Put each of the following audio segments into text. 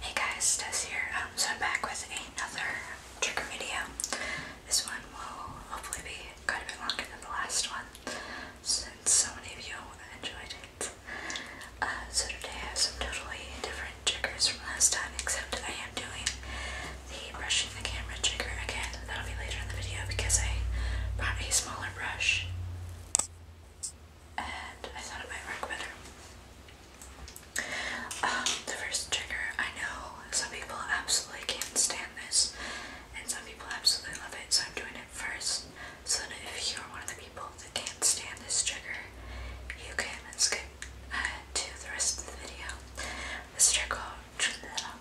Hey guys, Tess here. Um, so I'm back with another trigger video. This one will hopefully be quite a bit longer than the last one since so many of you enjoyed it. Uh, so today I have some totally different triggers from last time except I am doing the brushing the camera trigger again. That'll be later in the video because I bought a smaller brush and I thought it might work better. Um, the first trigger, I know some people absolutely can't stand this and some people absolutely love it, so I'm doing it first. So that if you're one of the people that can't stand this trigger, you can skip uh, to the rest of the video. This trigger,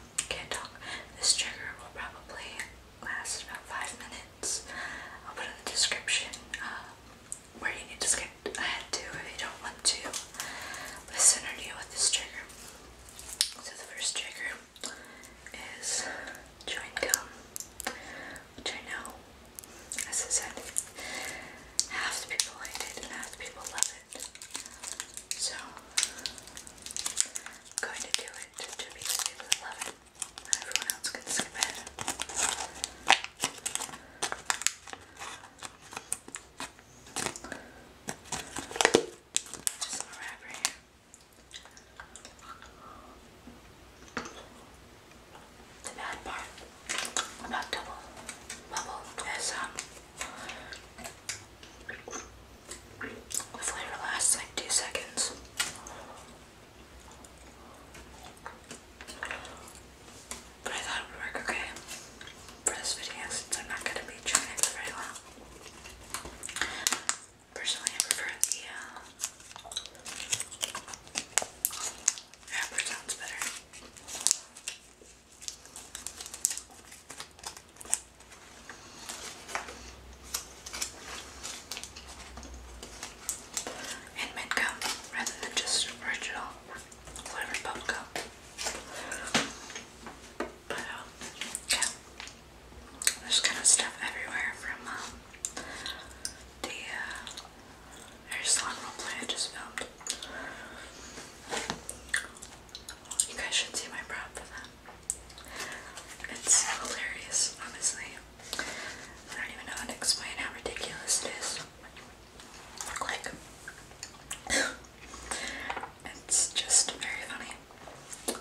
um, can't talk. This trigger will probably last about five minutes. I'll put in the description um, where you need to skip ahead to if you don't want to listen to deal with this trigger. So the first trigger is chewing gum, which I know, as I said, half the people hate it and half the people love it. So going to do it to because people Everyone else can skip it. Just a wrap The bad part about double bubble is um the flavor lasts like two seconds. But I thought it would work okay for this video since I'm not going to be trying it for very long. Personally, I prefer the uh, sounds better. Handmade gum rather than just original flavored bubble gum. But um, yeah, there's kind of stuff everywhere from um, the uh, hair salon roleplay I just filmed. You guys should see my prop for that. It's hilarious, honestly. I don't even know how to explain how ridiculous it is. Like, it's just very funny.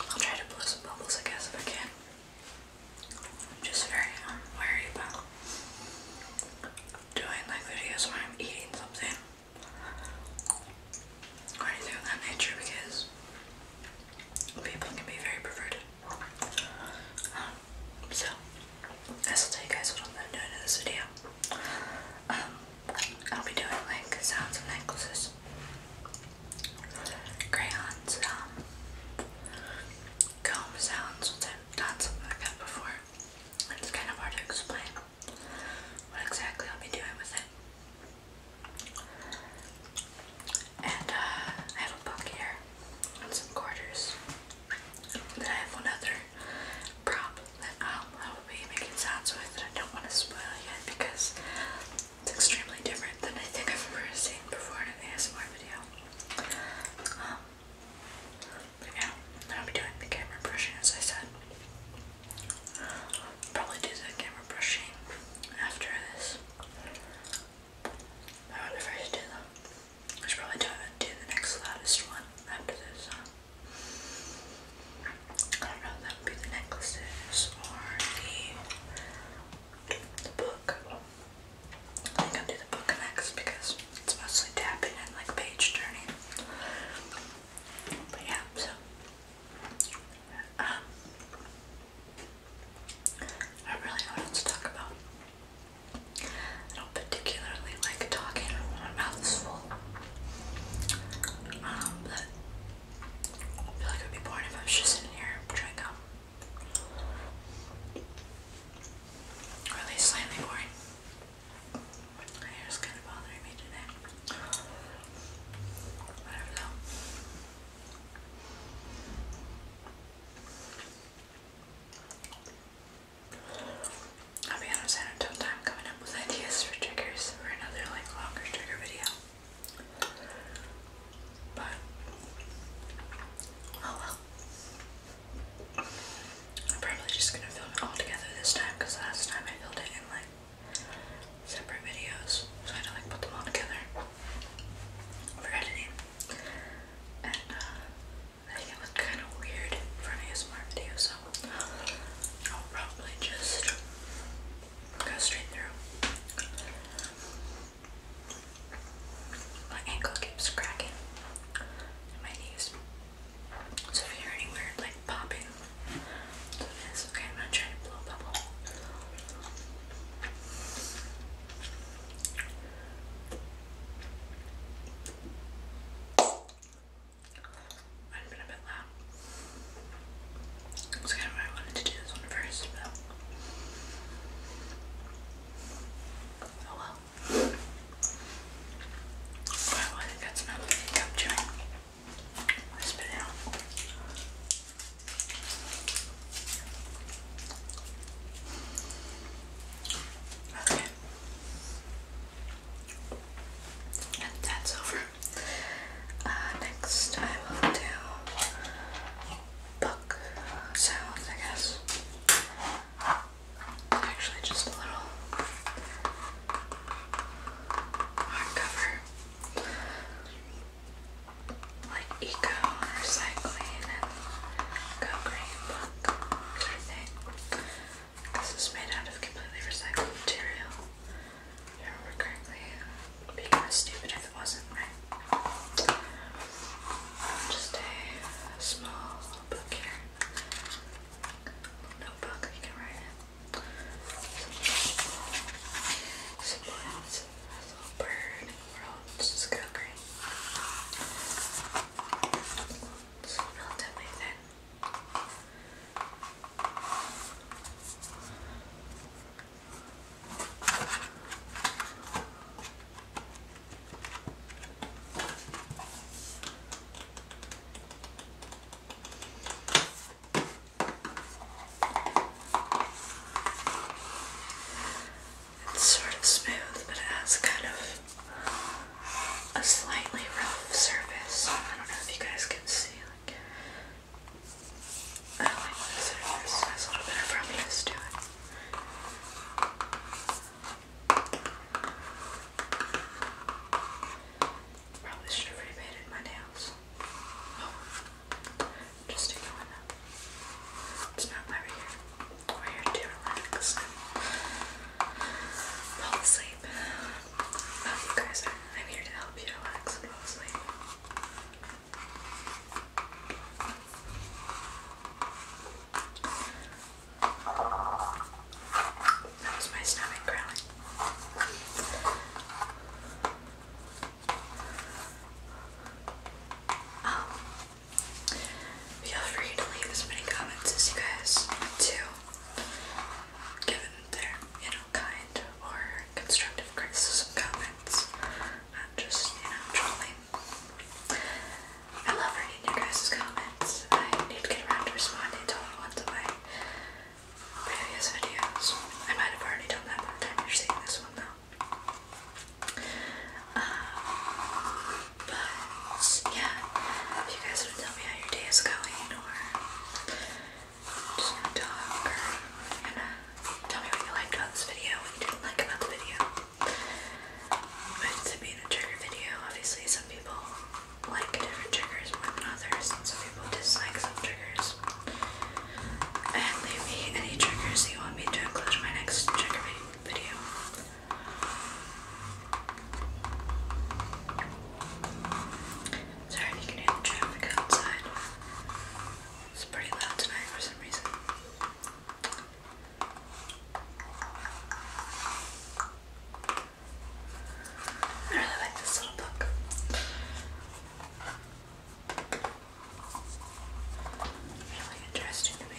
I'll try to blow some bubbles, I guess, if I can. I'm just very um, worried about doing like videos where I'm eating something or anything of that nature because people can be very perverted. Um, so, I will tell you guys what I'm going to do in this video. Um, I'll be doing like sounds of necklaces, crayons, um, comb sounds, which I've done something like that before. It's kind of hard to explain what exactly I'll be doing with it. And uh, I have a book here and some quarters. Then I have another prop that I'll, um, I will be making sounds with and I don't want to spoil yet because it's extremely different than I think I've ever seen before in an ASMR video. Um, yeah, then I'll be doing the camera brushing as I said. Probably do the camera brushing after this. I wonder if I do that. I should probably do, the next loudest one after this. I don't know, that would be the necklaces or the, book. I think I'll do the book next because it's mostly tapping and like page turning. But yeah, so um, I really know to talk about. I don't particularly like talking when my mouth is full. Um, but I feel like I'd be bored if I was just sitting here drinking gum. Or at least slightly boring. My hair's kind of bothering me today. Whatever though. I'll be honest, I had time coming with ideas for triggers for another like longer trigger video. But oh I'm probably just gonna film it all together this time because last time I filmed it in like separate videos, so I had to like put them all together for editing. And uh, I think it was kind of weird for an ASMR video, so I'll probably just Go straight through. My ankle keeps cracking. And my knees. So if you hear any weird like popping, it is. Okay, I'm not trying to blow a bubble. Might have been a bit loud. So kind of why I wanted to do this one first, oh well. Wow, I think that's not really capturing. spit it out. Okay. And that's over. Uh, next, I will do book sounds, I guess. Actually, just a little hardcover, like eco recycling and go green book This is made out of completely recycled material remember correctly. It would be kind of stupid if it wasn't, right? Just a small book here. Notebook, you can write it. Some little bird. World. Just go green. It's relatively thin. It's sort of smooth, but it has kind of a slightly rough surface. I don't know if you guys can see I like this. This has a little bit of firmness Probably should have repainted my nails. Oh, just ignoring that. It's not why we We're here to relax fall asleep you guys, I'm here to help you relax and go to sleep. That was my stomach growling. Um, feel free to leave as many comments as you guys want given their, you know, kind or constructive criticism comments. i just, you know, trolling. I love reading your guys' comments. I need to get around to responding to all ones of my previous videos. I might have already done that by the time you're seeing this one, though. Um, but yeah, if you guys want to tell me how your day is going, or just talk or, tell me what you liked about this video, what you didn't like about the video. With it being a trigger video, obviously some people like different triggers more than others, and some people dislike some triggers. And leave me any triggers you want me to include in my next trigger video. Sorry you can hear the traffic outside. It's pretty loud tonight for some reason. I really like this little book. Really interesting to me.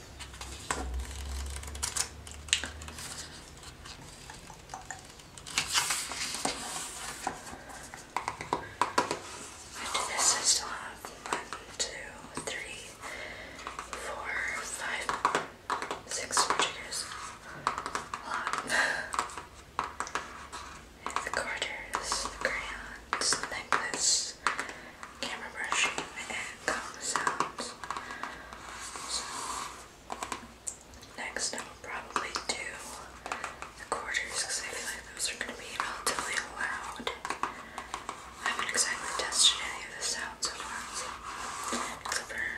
After this, I still have one, two, three, four, five, six fingers. the quarters, the crayon, this necklace camera brushing and comes out. next I will probably do the quarters because I feel like those are going to be relatively loud. I haven't exactly tested any of this out so far, so, couple here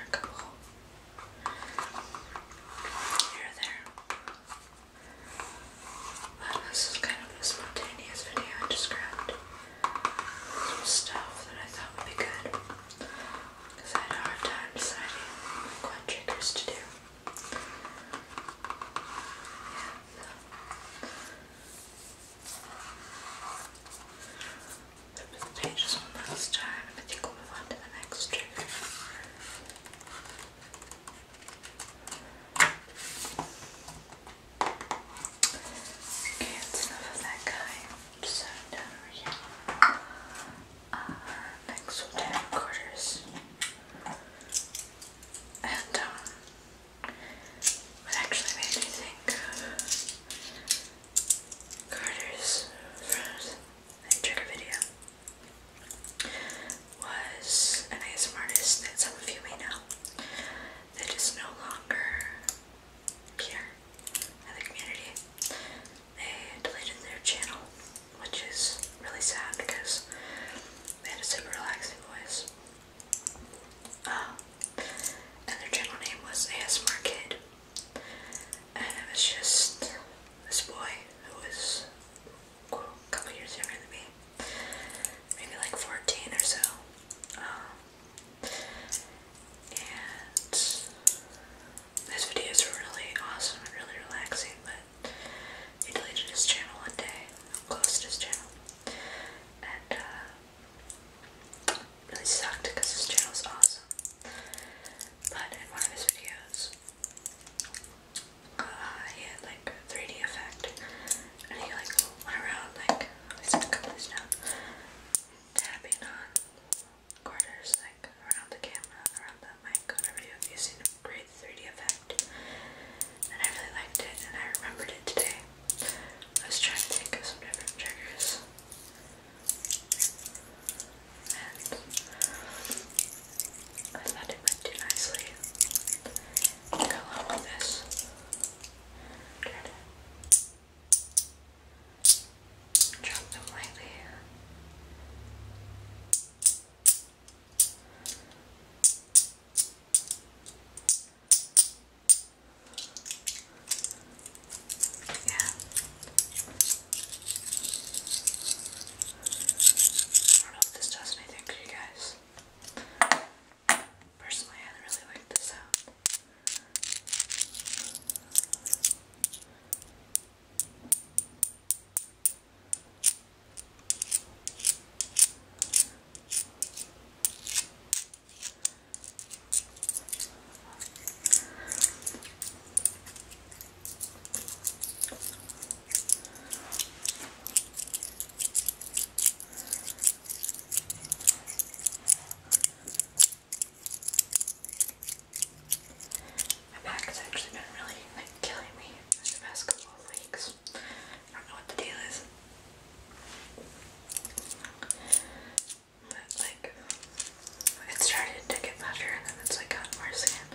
there this is kind of a spontaneous video. I just grabbed stuff that I thought would be good. Because I had a hard time deciding what triggers to do. Yeah, so. pages one last time and I we move on to the next trigger. Okay, it's enough of that guy. So now we our next And um what actually made me think Carter's first and trigger video was an ASMR artist that some of you may know that is no longer here in the community. They deleted their channel, which is really sad because they had a super relaxing voice. Um, and their channel name was ASMR Kid. And it was just this boy who was a couple years younger than me maybe like 14 or so. Um, and this video is really awesome and really relaxing, but he deleted his channel one day, closed his channel, and uh, really sucked because his channel is awesome. But in one of his videos, uh, he had like a 3D effect, and he like went around like I a couple of down, tapping on quarters like around the camera, around the mic, whatever you have. You've seen 3D effect, and I really liked it, I remembered it today. I was trying to think of some different triggers. And I thought it went too nicely drop them lightly Yeah. I don't know if this does anything for you guys. Personally, I really like this sound. My back has actually been really like killing me the past couple I don't know what the deal is. But like it started to get better and then it's like gotten worse again.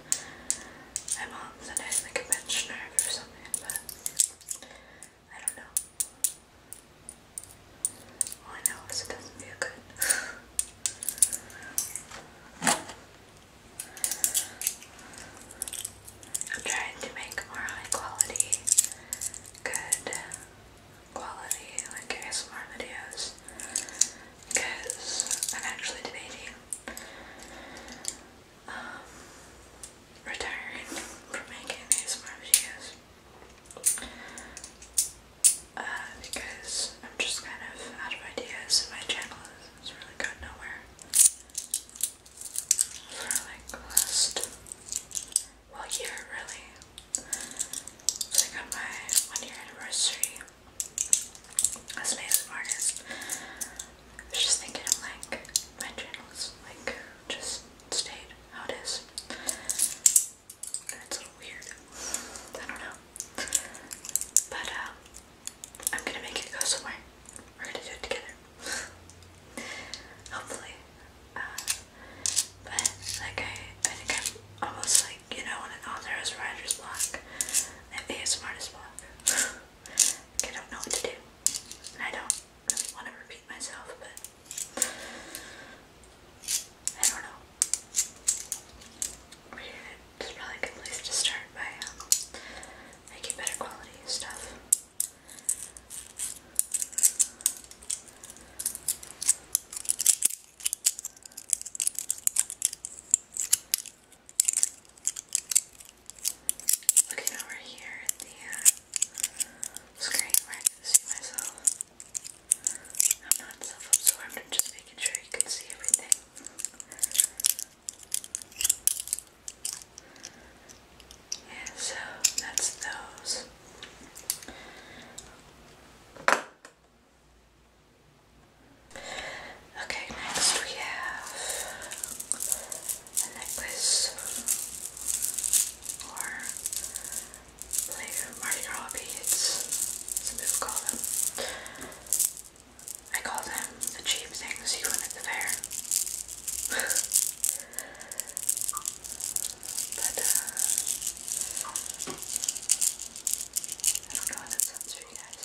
My mom said I like a nerve or something, but I don't know. I know is doesn't feel good. I'm trying to make more high quality, good quality, like ASMR videos because I'm actually debating um, retiring from making ASMR videos uh, because I'm just kind of out of ideas and my channel is really gone nowhere for like last, well year really it's like on my one year anniversary as an ASMR I was just thinking, i like, my channel is like just stayed how it is. That's a little weird. I don't know. But um, I'm gonna make it go somewhere. We're gonna do it together. Hopefully. Uh, but like I, I think I'm almost like, you know, when an author has writer's block, I have ASMR's block. I don't know what to do. I don't want to repeat myself, but I don't know. It's probably a good place to start by um, making better quality stuff. Okay, now here at the uh, screen where I myself. I'm not self absorbed, i just making sure you can see everything. Yeah, so that's those. Okay, next we have a necklace or believe Mardi Gras some people call them. I call them the cheap things you win at the fair. but uh, I don't know if that sounds for you guys.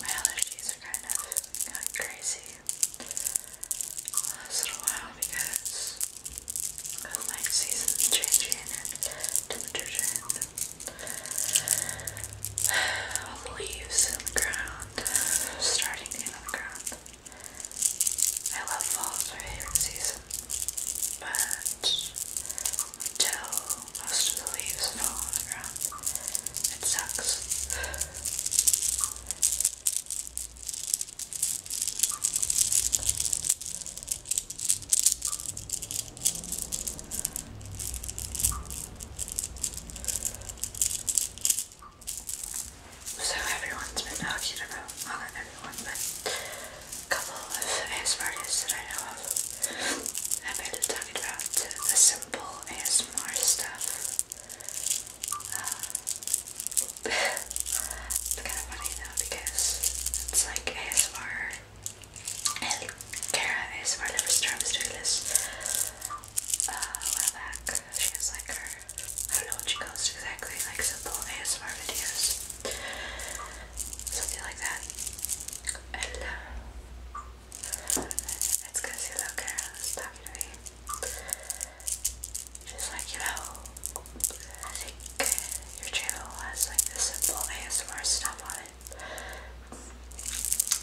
My allergies are kind of going crazy the last little while because of my season changing and temperature the leaves in the ground, starting to get on ground. I love fall, it's favorite season, but until most of the leaves fell on the ground. It sucks. So everyone's been talking about, not everyone, but a couple of ASMRs that I know of have been about the, simple ASMR stuff. Um, it's kind of funny though because it's like ASMR and Kara ASMR never stops doing this. Uh, a while back, she has like I don't know what she calls exactly, like simple ASMR videos, something like that, and uh, it's because you look at stuff to me. Just like, you know, I think your channel has like this simple ASMR stuff on it.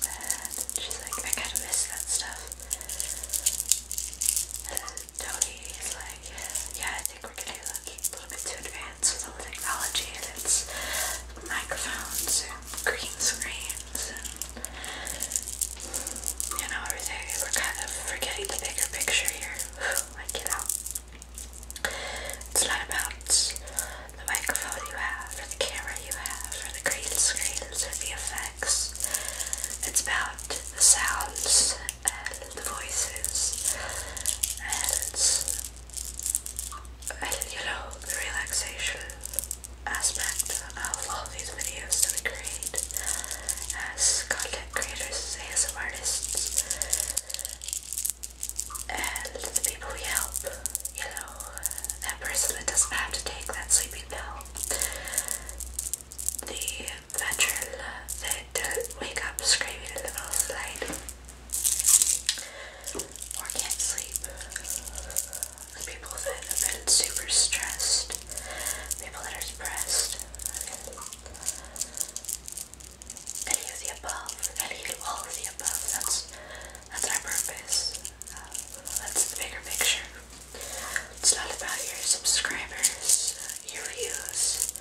And she's like, I kind of miss that stuff. And Tony is like, yeah, I think we're getting a little bit too advanced science all technology and its microphones and green screens and you know everything. We're kind of forgetting the bigger picture here. like you know. It's not about the microphone you have or the camera you have or the green screens or the effects. It's about the sounds and the voices and you know, the relaxation aspect of all these videos that we create as content creators, as artists, and the people we help, you know, that person that doesn't have to take that sleeping pill, the veteran that doesn't uh, wake up screaming in the middle of the night or can't sleep. People that have been super stressed, people that are depressed, any of the above, any all of the above. That's that's our purpose. Uh, that's the bigger picture. It's not about your subscribers, your views.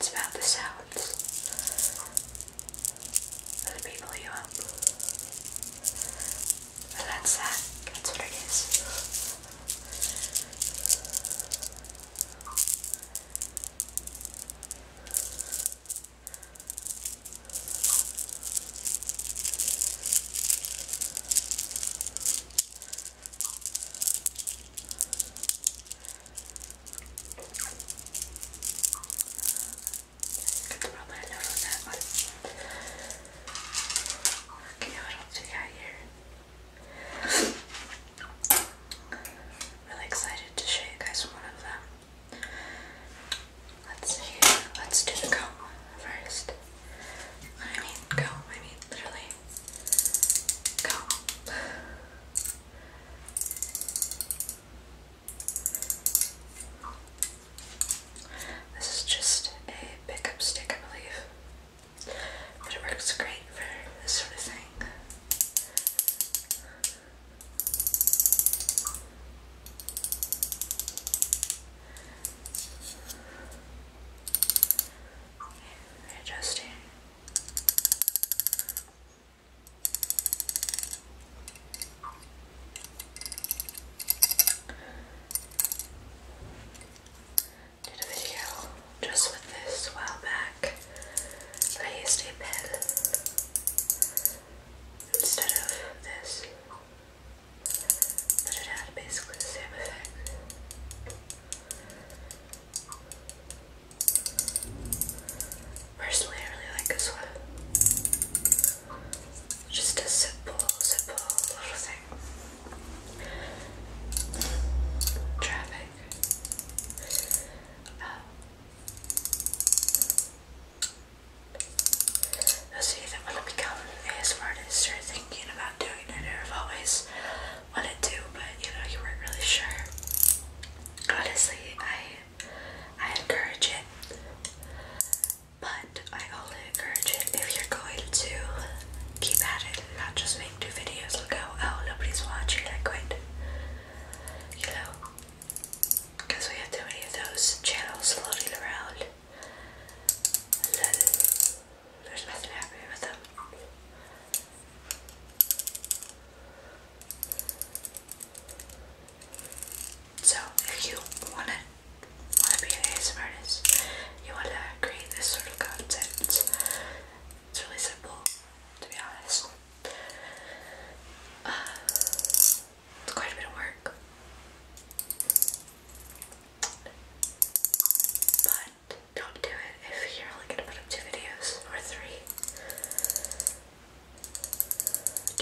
Smell the sounds of the people you help. And that's that. That's what it is. Could probably Okay, what else we got here? Really excited to show you guys one of them. Let's Let's do the comb first. I mean comb, I mean literally this is just a pick up stick, I believe, but it works great for this sort of thing. Readjusting. Did a video just with this while back, but I used a pen instead of this, but it had basically the same effect. Personally, I really like this one. Just a simple, simple little thing. Traffic. Um, uh, those of that want to become an artist or thinking about doing it or wanted to, but you know, you weren't really sure. Honestly, I I encourage it. But I only encourage it if you're going to keep at it not just make two videos and go, oh, nobody's watching, I quit. You know? Because we have too many of those channels floating around. So if you wanna wanna be an ASMR you wanna create this sort of content. It's really simple, to be honest. Uh, it's quite a bit of work. But don't do it if you're only going to put up two videos or three.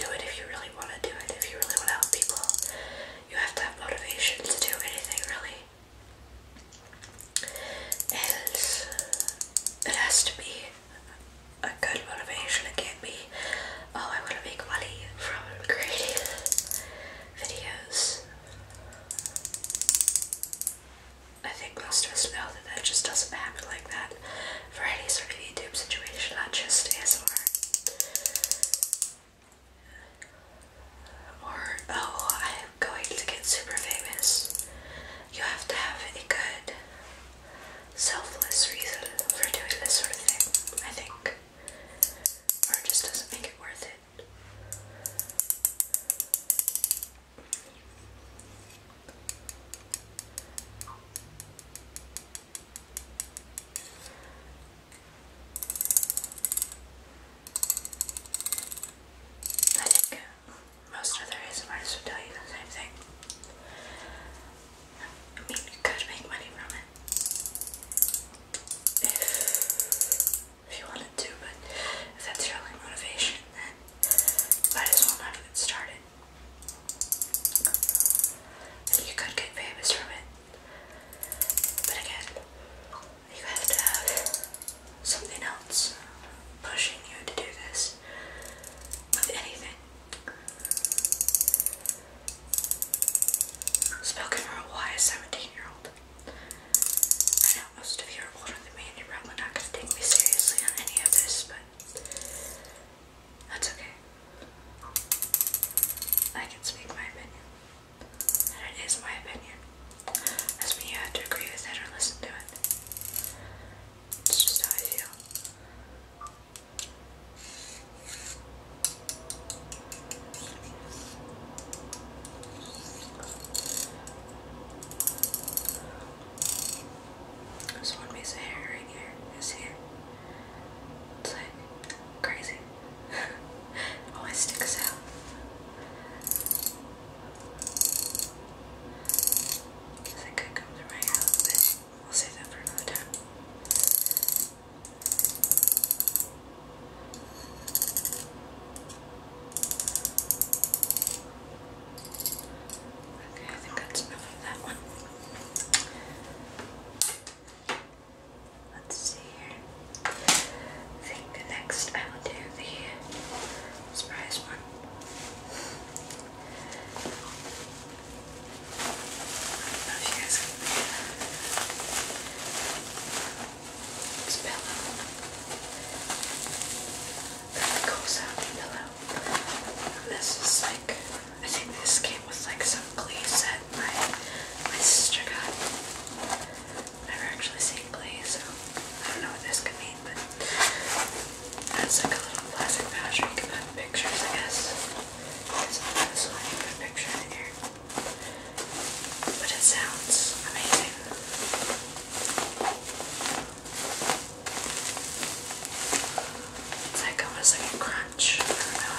Do it if you really want to do it, if you really want to help people. You have to have motivation to do anything, really. it has to be a good motivation. It can't be, oh, I want to make money from creating videos. I think most of us know that that just doesn't happen like that for any sort of YouTube situation, not just ASMR. Or, oh, I'm going to get super famous. You have to have a good, selfless reason for doing this sort of thing, I think. Or just doesn't make it worth it. I think most other artists would tell you the same thing. I mean, you could make money from it if you wanted to, but if that's your only motivation, then might as well not even start it. you could get famous from it. But again, you have to have something else pushing you to do this with anything. Spoken for a 17 year old. I know most of you are older than me and you're probably not going to take me seriously on any of this, but that's okay. I can speak my opinion. And it is my opinion. That's not you have to agree with it or listen to it. It's just how I feel. This one piece of hair right here. here is here. It's like crazy. Always oh, sticks out. Guess could come through my house, but we'll save that for another time. Okay, I think that's enough of that one. Let's see here. I think next I will do the surprise one. I don't know if you guys can it's pillow. That goes on the this is like, I think this came with like some Glee set my, my sister got. never actually seen Glee, so I don't know what this could mean, but that's like a little plastic pouch you can put pictures, I guess. So that's why picture in here but it sounds amazing. It's like almost like a crunch. I don't know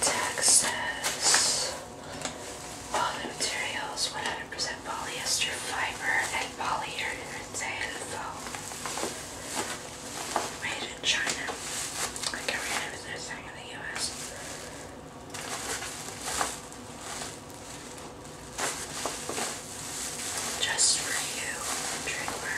Texas. All the materials 100 polyester fiber and polyurethane foam. Made in China. I can read everything in the US. Just for you, trademark.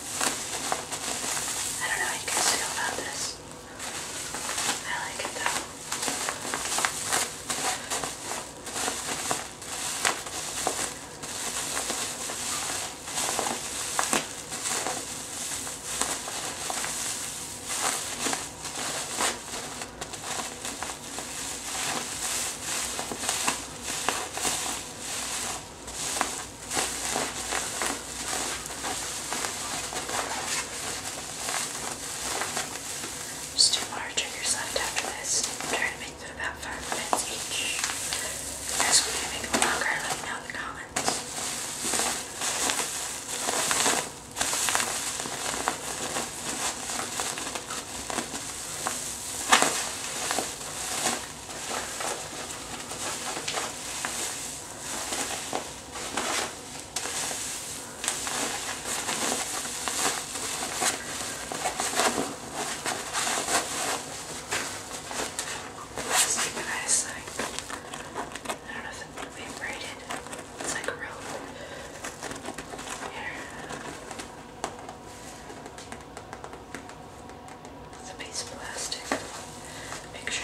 I don't know how you guys feel about this. I like it though. I just two more triggers left after this. I'm trying to make them about five minutes each. If you guys want me to make them longer, let me know in the comments. It's like nice, like, I don't know if they've braided. It's like a rope. Here with a piece of plastic picture.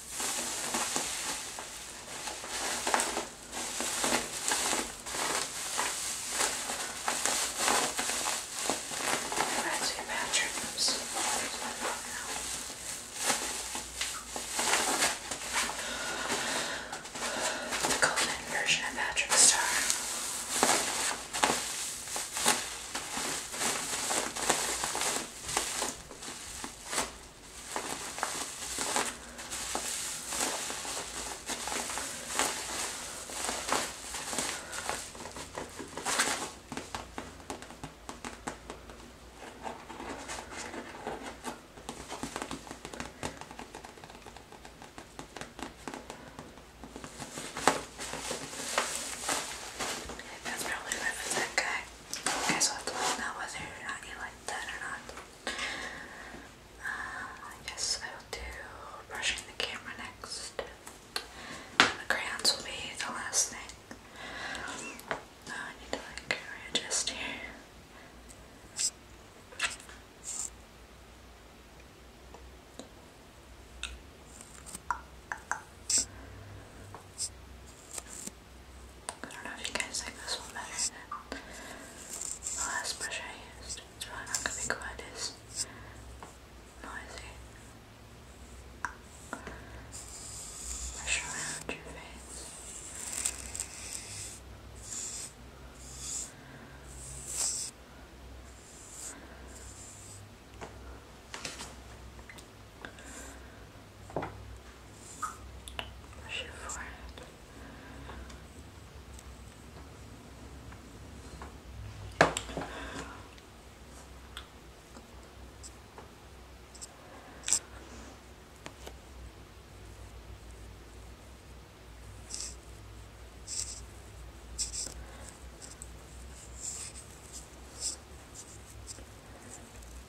Reminds me of Patrick. Oops. The golden version of Patrick Star. That's probably where the tech guy Okay, so I don't know whether I like that or not. Uh, I guess I will do brushing the camera next. the crayons will be the last thing. oh, I need to like readjust here. I don't know if you guys like this one better than the last brush I used. It's probably not going to be quite as noisy. Brush around your face. Brush your forehead.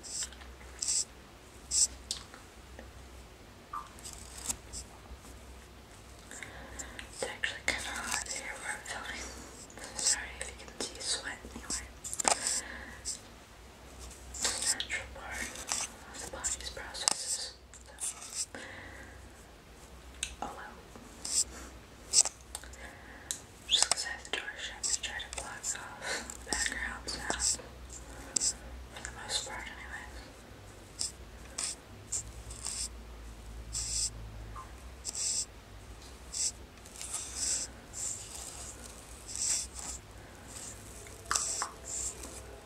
It's actually kind of hot here where i filming. Sorry if you can see sweat anywhere. The natural part of the body's processes. So. Oh, just because I have the door to try to block off background sound. For the most part, anyways.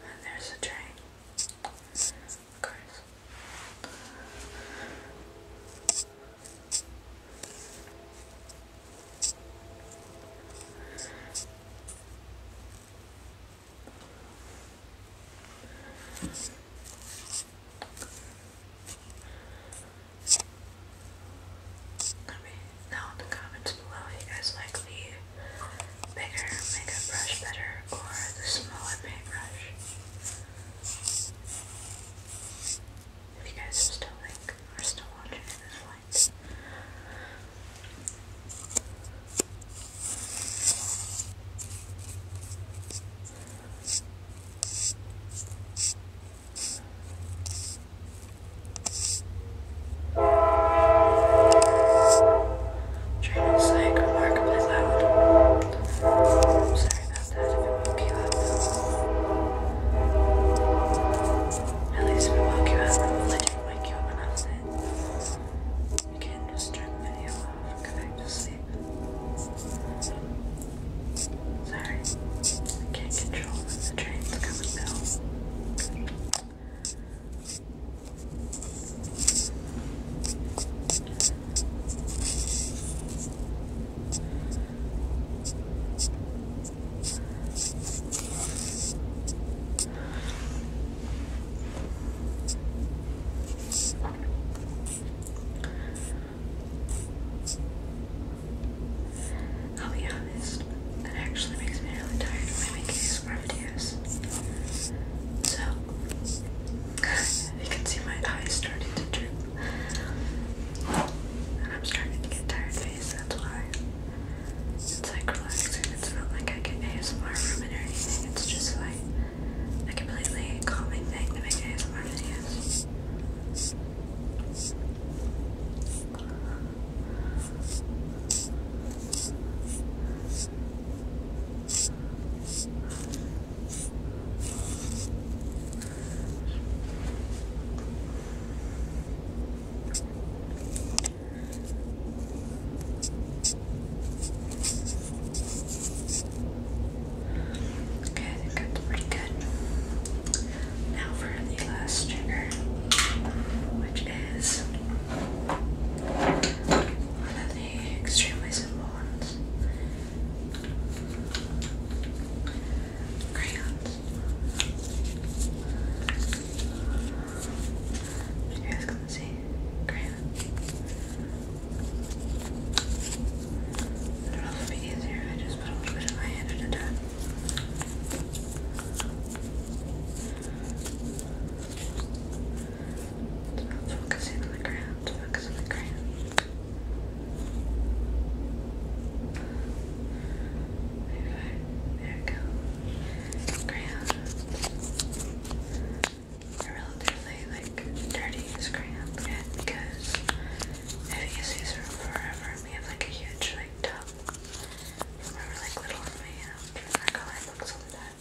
And there's a train. Of course. Let in the comments below you guys like the bigger makeup brush better or the smaller paintbrush. If you guys still like are still watching the lights. Train is like remarkably loud. I'm sorry about that if it woke you up. At least if woke you up, I didn't wake you up when I was in. can't just turn the video go back to sleep. Sorry, I can't control when the trains come and go. I'll be honest, that actually makes me really tired when I these videos. So, you can see my eyes starting to droop. I'm starting to get tired of face, that's why. It's like relaxing. It's not like I get ASMR from it or anything. It's just like a completely calming thing to make ASMR videos. Okay, I think pretty good. Now for the last trigger, which is one of the extremely simple ones crayons. You guys can see crayons. I don't know if it'll be easier. I just put a little bit of my hand at a time. Focusing on the ground, focus on the ground. There we go. Crayons. they relatively like dirty, these crayons, because if you use them forever, we have like a huge like tub. From like little and we, you know, books all the time.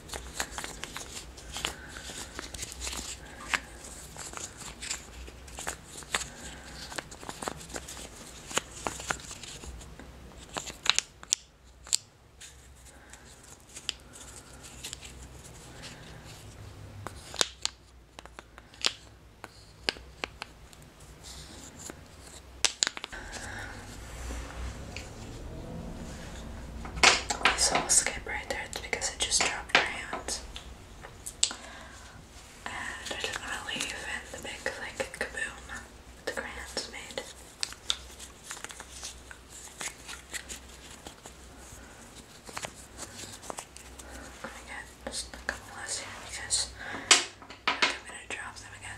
I saw a skip right there, because it just dropped her hand. And I just want to leave in the big, like, kaboom that the grand's made. i just a couple less because I'm gonna drop them again.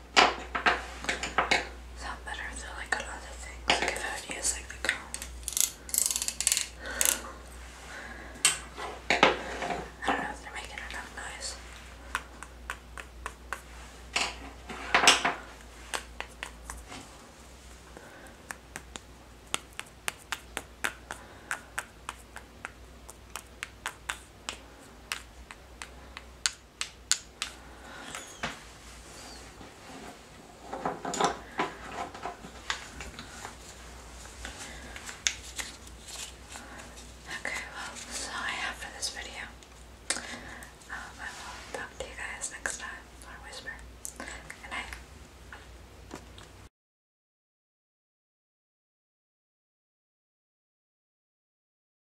Sound better if like on other if I would use like the comb. I don't know if they're making enough noise. Okay, well, that's all I have for this video. Um, I will talk to you guys next time, or whisper. Good